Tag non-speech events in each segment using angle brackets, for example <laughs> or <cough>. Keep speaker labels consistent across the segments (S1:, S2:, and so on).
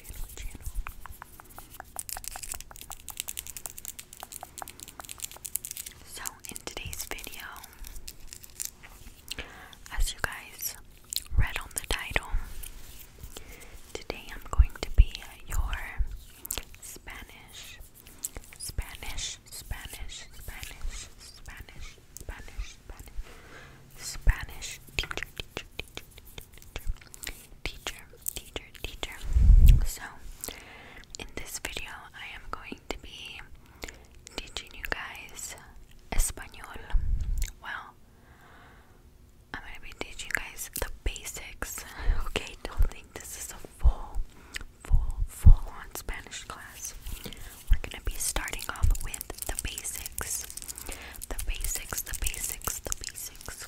S1: so, in today's video, as you guys read on the title, today I'm going to be your Spanish, Spanish, Spanish, Spanish, Spanish, Spanish, Spanish, Spanish teacher, teacher, teacher, teacher. So, in this video, I am going to be teaching you guys Spanish. Well, I'm going to be teaching you guys the basics. <laughs> Okay, don't think this is a full, full, full on Spanish class. We're going to be starting off with with the basics. The basics, the basics, the basics.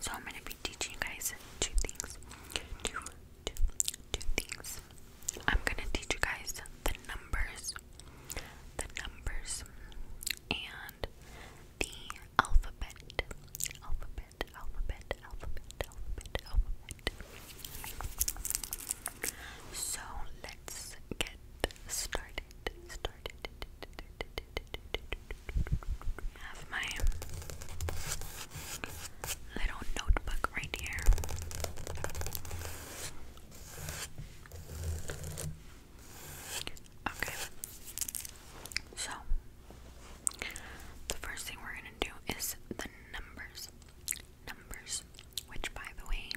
S1: So I'm gonna be teaching you guys two things. Two, two, two things. I'm gonna teach you guys the numbers, the numbers, and the alphabet, alphabet, alphabet, alphabet, alphabet, alphabet. So let's get started get I have my little notebook right here. Okay. So, the first thing we're going to do is the numbers. Numbers, which by the way,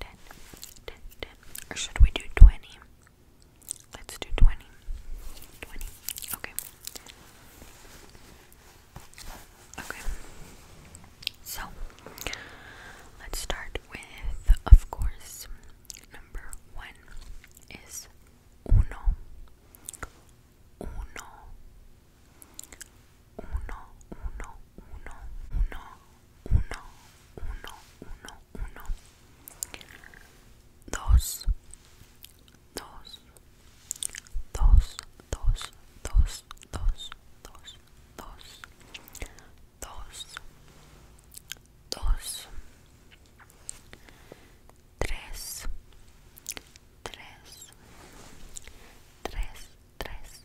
S1: 10, Or should we do 20? Let's do 20. 20. Okay. Okay. So, let's start with, of course, number one is uno. Uno. Uno, uno, uno, uno, uno, uno, uno, uno, dos, dos, dos, dos, dos, dos, dos, dos, dos, tres, tres, tres, tres,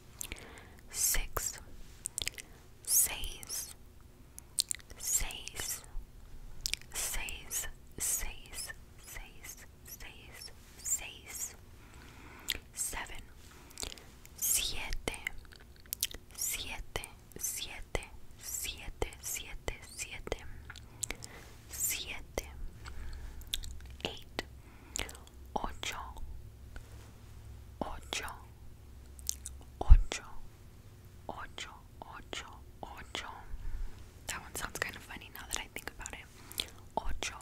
S1: six, seis, seis, seis, seis, seis, seis, seis, seven, siete, siete, siete, siete, siete, siete, eight ocho, That one sounds kind of funny now that I think about it. Ocho,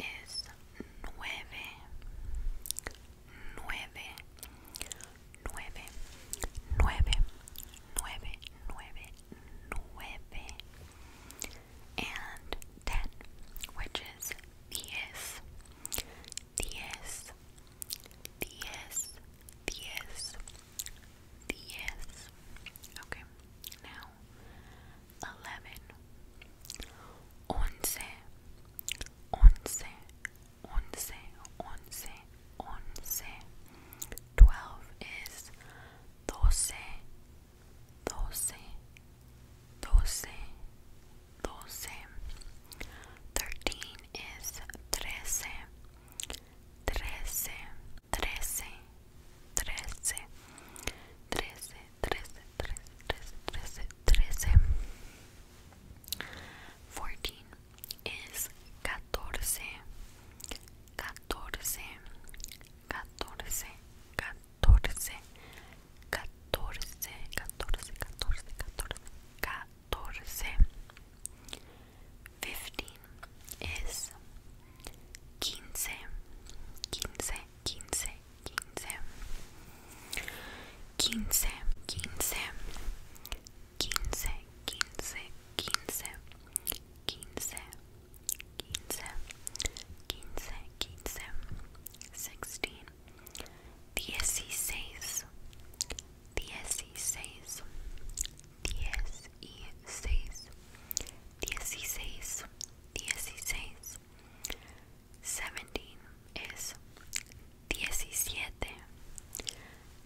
S1: is nueve, nueve, nueve, nueve, nueve, nueve, nueve, and ten, which is diez, diez, diez, diez, diez. Okay, now eleven, once, once, once, once once. Twelve is doce, doce, doce, doce. Thirteen is trece, trece, trece, trece, trece, trece, trece, trece, trece. Fourteen es 14 14 14 14 14 14 14 14 14 15 es 15 15 15 15 15 15 quince, quince, seventeen is diecisiete.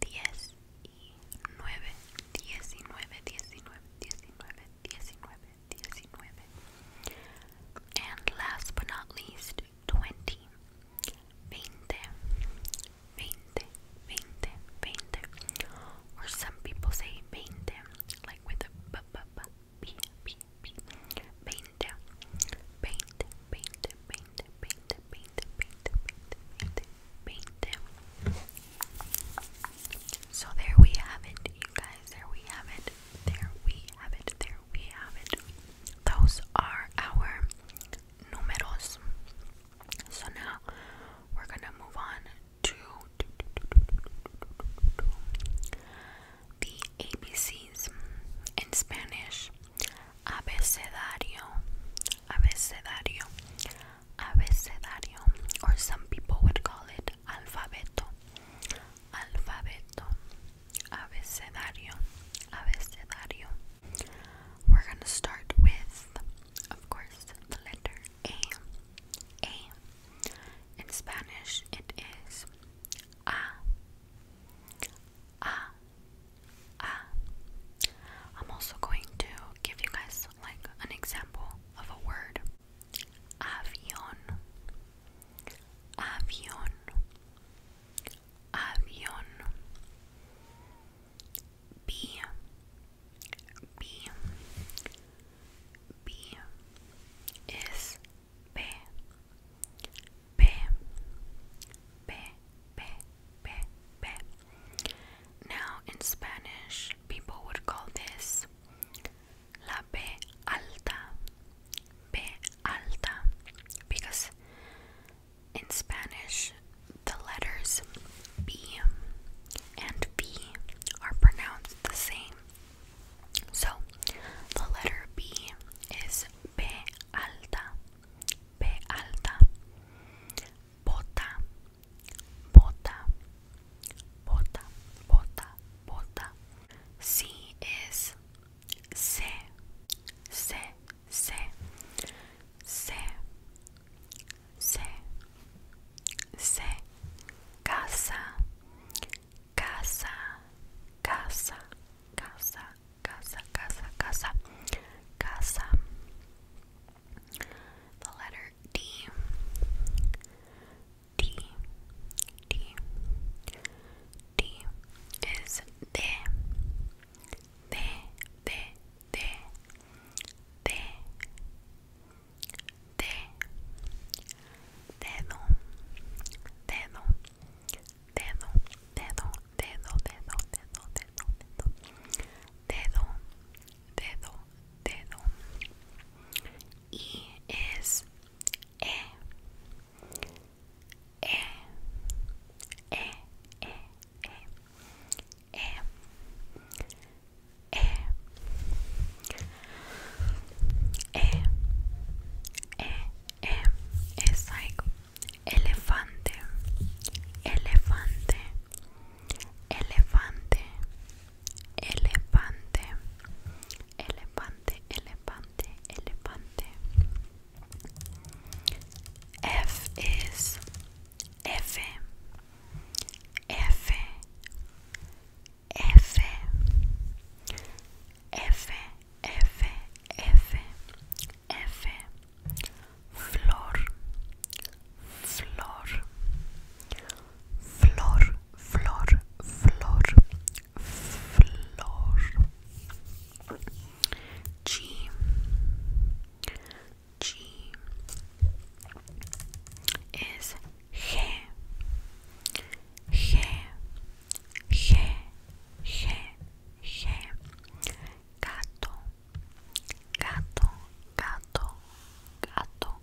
S1: diez y nueve, And last but not least, twenty. Or some people say veinte, like with a b b b b b b. So there we have it, you guys. There we have it. There we have it. There we have it. Those are our numeros. So now we're gonna move on to the ABCs in Spanish abecedario, abecedario, abecedario, or some people would call it alfabeto, alfabeto, abecedario, abecedario. We're gonna start with, of course, the letter A. A. In Spanish, it is A. A. Ah. I'm also going to give you guys like an example of a word. Avión. Avión. Avión. B. P P P P P Now in Spanish people would call this la P alta P alta because in Spanish the letters B and B are pronounced the same. So the letter B is B alta P alta, bota, bota, bota, bota, bota. si es C, C, C, C, C, C, casa, casa, casa, casa casa, casa, casa, casa. The letter D, D, D, D is de, de, de, de, de, de, dedo, dedo, dedo, dedo, dedo, dedo, dedo, dedo, dedo, dedo, dedo, y es e, e, e, e, e, e, e, e, e, e, it's like elefante, elefante, elefante, elefante, elefante, elefante, elefante. F is F, F, F, F. F F F Flor Flor Flor Flor Flor Flor G G is G G G G G gato gato gato gato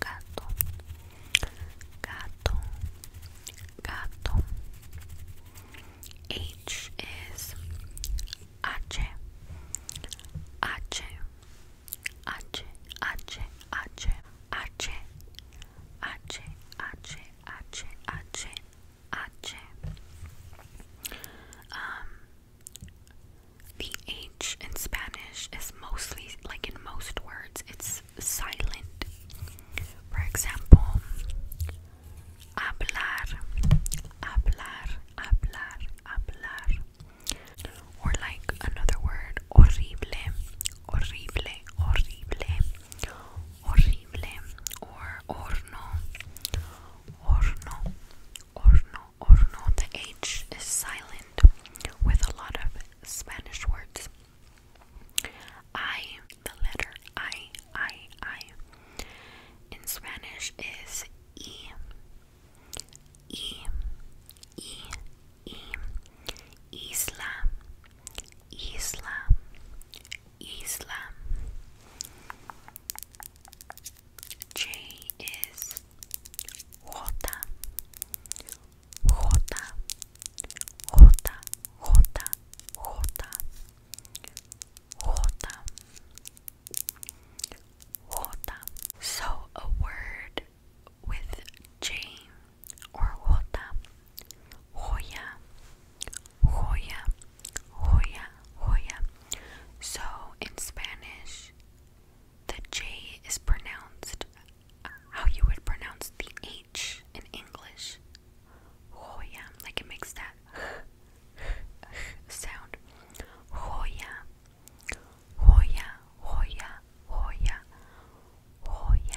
S1: gato gato gato H is H H H H H H H H H H H H. Um, the H in Spanish is mostly, like in most words, it's silent. For example, hablar, hablar, hablar, hablar. Or like another word, horrible, horrible, horrible horrible or horno horno horno horno the H is silent with a lot of Spanish words I the letter I I I in Spanish is E E E E Isla Isla Isla. J is Jota. Jota. Jota. Jota. Jota. Jota. Jota. So a word with J or Jota Hoya, Hoya, Hoya, Hoya. So in Spanish, the J is pronounced how you would pronounce the H in English. Hoya, like it makes that sound. Hoya, Hoya, Hoya, Hoya, Hoya.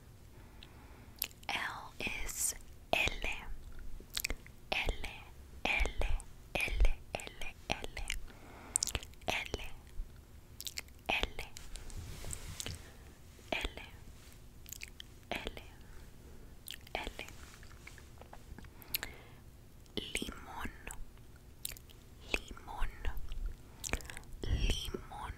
S1: L is L. L, L, L, L, L. L, L. L, L, L. Limón, limón, limón,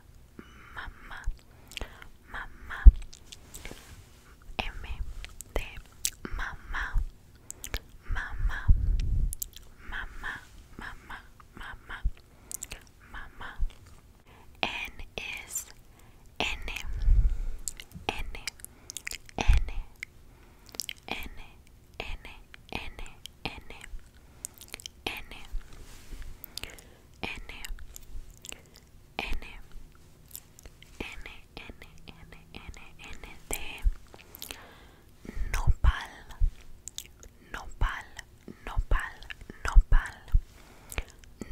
S1: mamá, mamá, M de mamá, mamá, mamá, mamá, mamá, mamá. N is N, N, N, N, N, N, N, N N N N N N N N N nopal nopal nopal nopal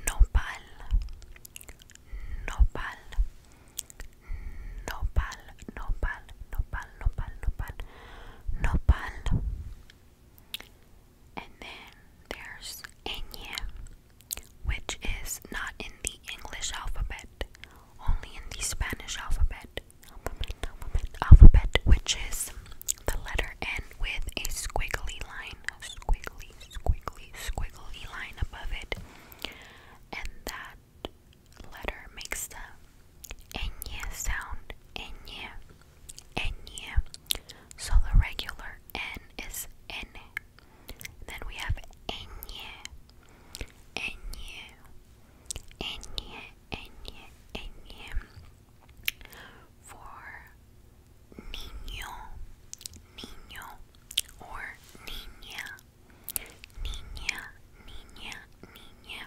S1: nopal nopal nopal nopal nopal nopal nopal nopal And then there's Enye, which is not in the English alphabet, only in the Spanish alphabet. Alphabet, alphabet, alphabet, which is the letter N with a squiggly line, a squiggly, squiggly, squiggly line above it. And that letter makes the Enye sound. Enye. Enye. So the regular N is N. Then we have Enye. Enye. Enye. Enye. Enye. For niño. Niño. Or niña. Niña. Niña. Niña.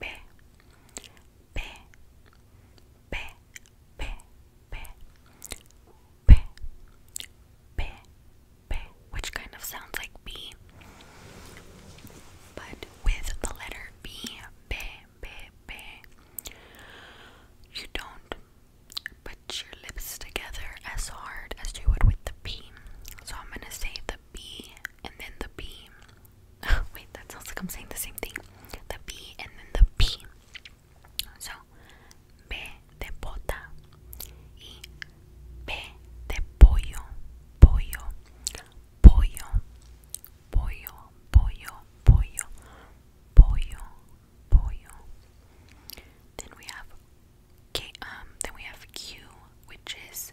S1: P P P P P P P P which kind of sounds like B but with the letter B B B B you don't put your lips together as hard as you would with the P so I'm gonna say the B and then the B <laughs> Wait, that sounds like I'm saying the same thing. The B and then the P. So, B de bota y B de pollo, pollo, pollo, pollo, pollo, pollo, pollo, pollo. Then we have K. Um. Then we have Q, which is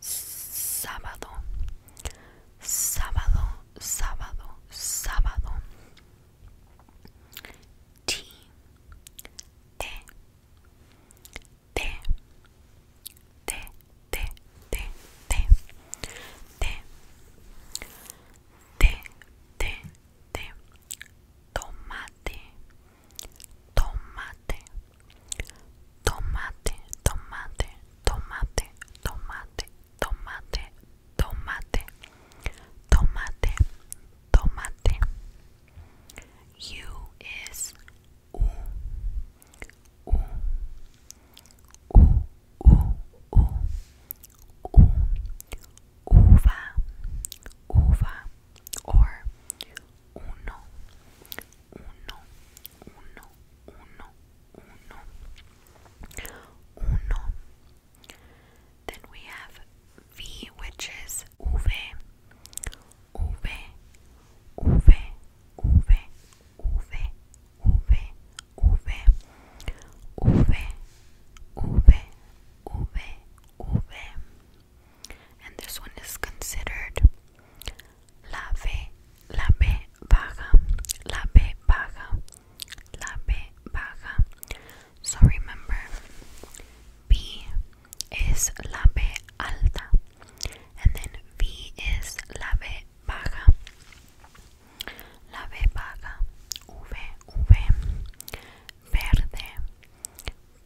S1: sábado, sábado, sábado, sábado. T, te te te te te te tomate, tomate tomate, tomate, tomate, tomate, tomate, tomate, tomate, tomate. U is u, u, u, u, u, u, uva, uva, or uno, uno, Then we have V, which is uve, uve, uve, uve, uve, uve, uve, uve, uve, uve, And this one is considered la B, la B baja, la B baja, la B baja. So remember, B is la B alta, and then V is la B baja, la B baja, V, V, verde,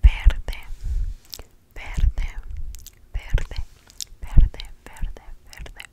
S1: verde, verde, verde, verde, verde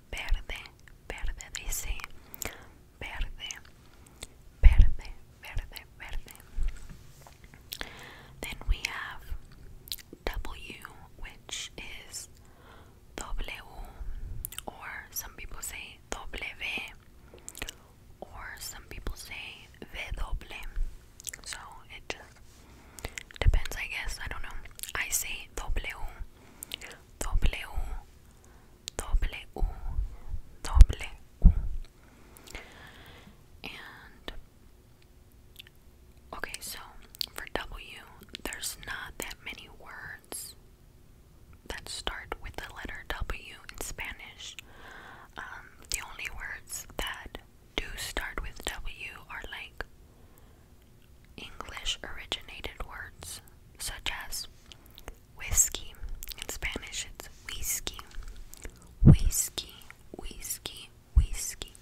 S1: verde, verde, dice verde, verde, verde, verde. Then we have W, which is W, or some people say W, or some people say W. So it just Depends, I guess. I don't know. I say W, W, W, W. And okay, so for W, there's not that many words that start with the letter W in Spanish. Um, the only words that do start with W are like English originated words such as whiskey, in Spanish it's whiskey, whiskey, whiskey, whiskey,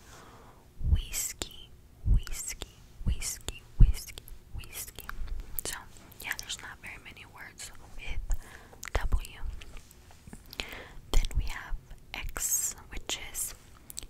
S1: whiskey, whiskey, whiskey, whiskey, whiskey. So, yeah, there's not very many words with W. Then we have X, which is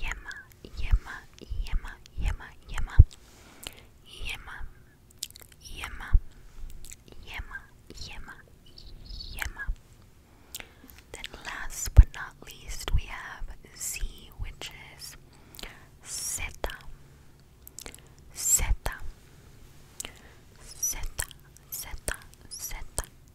S1: Yema, yema, yema, yema, yema. Yema, yema, yema, yema, yema. Then last but not least we have Z which is Zeta. Zeta. Zeta. Zeta. Zeta.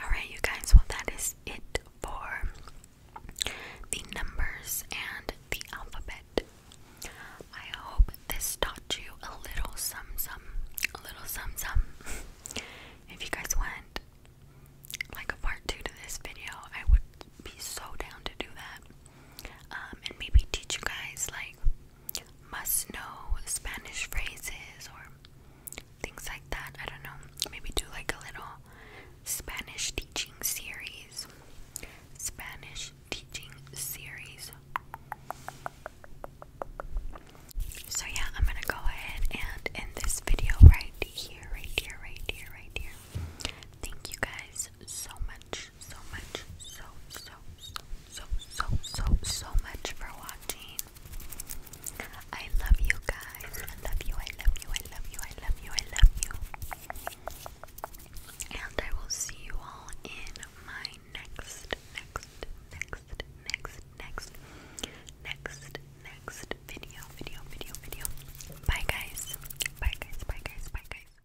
S1: Alright, you guys, well, that is it for the numbers and the alphabet. I hope this taught you a little sum sum, a little sum sum. if you guys want like a part two to this video, I would be so down to do that. Um, and maybe teach you guys like must know Spanish phrases or things like that. I don't know. Maybe do like a little Spanish teaching series. Spanish teaching series. So, yeah, I'm gonna go ahead and end this video right here, right here, right here, right here. Thank you guys so much, so much, so, so, so, so, so, so much for watching. I love you guys. I love you, I love you, I love you, I love you, I love you. And I will see you all in my next, next, next, next, next, next, next video, video, video, video. Bye guys. Bye guys, bye guys, bye guys.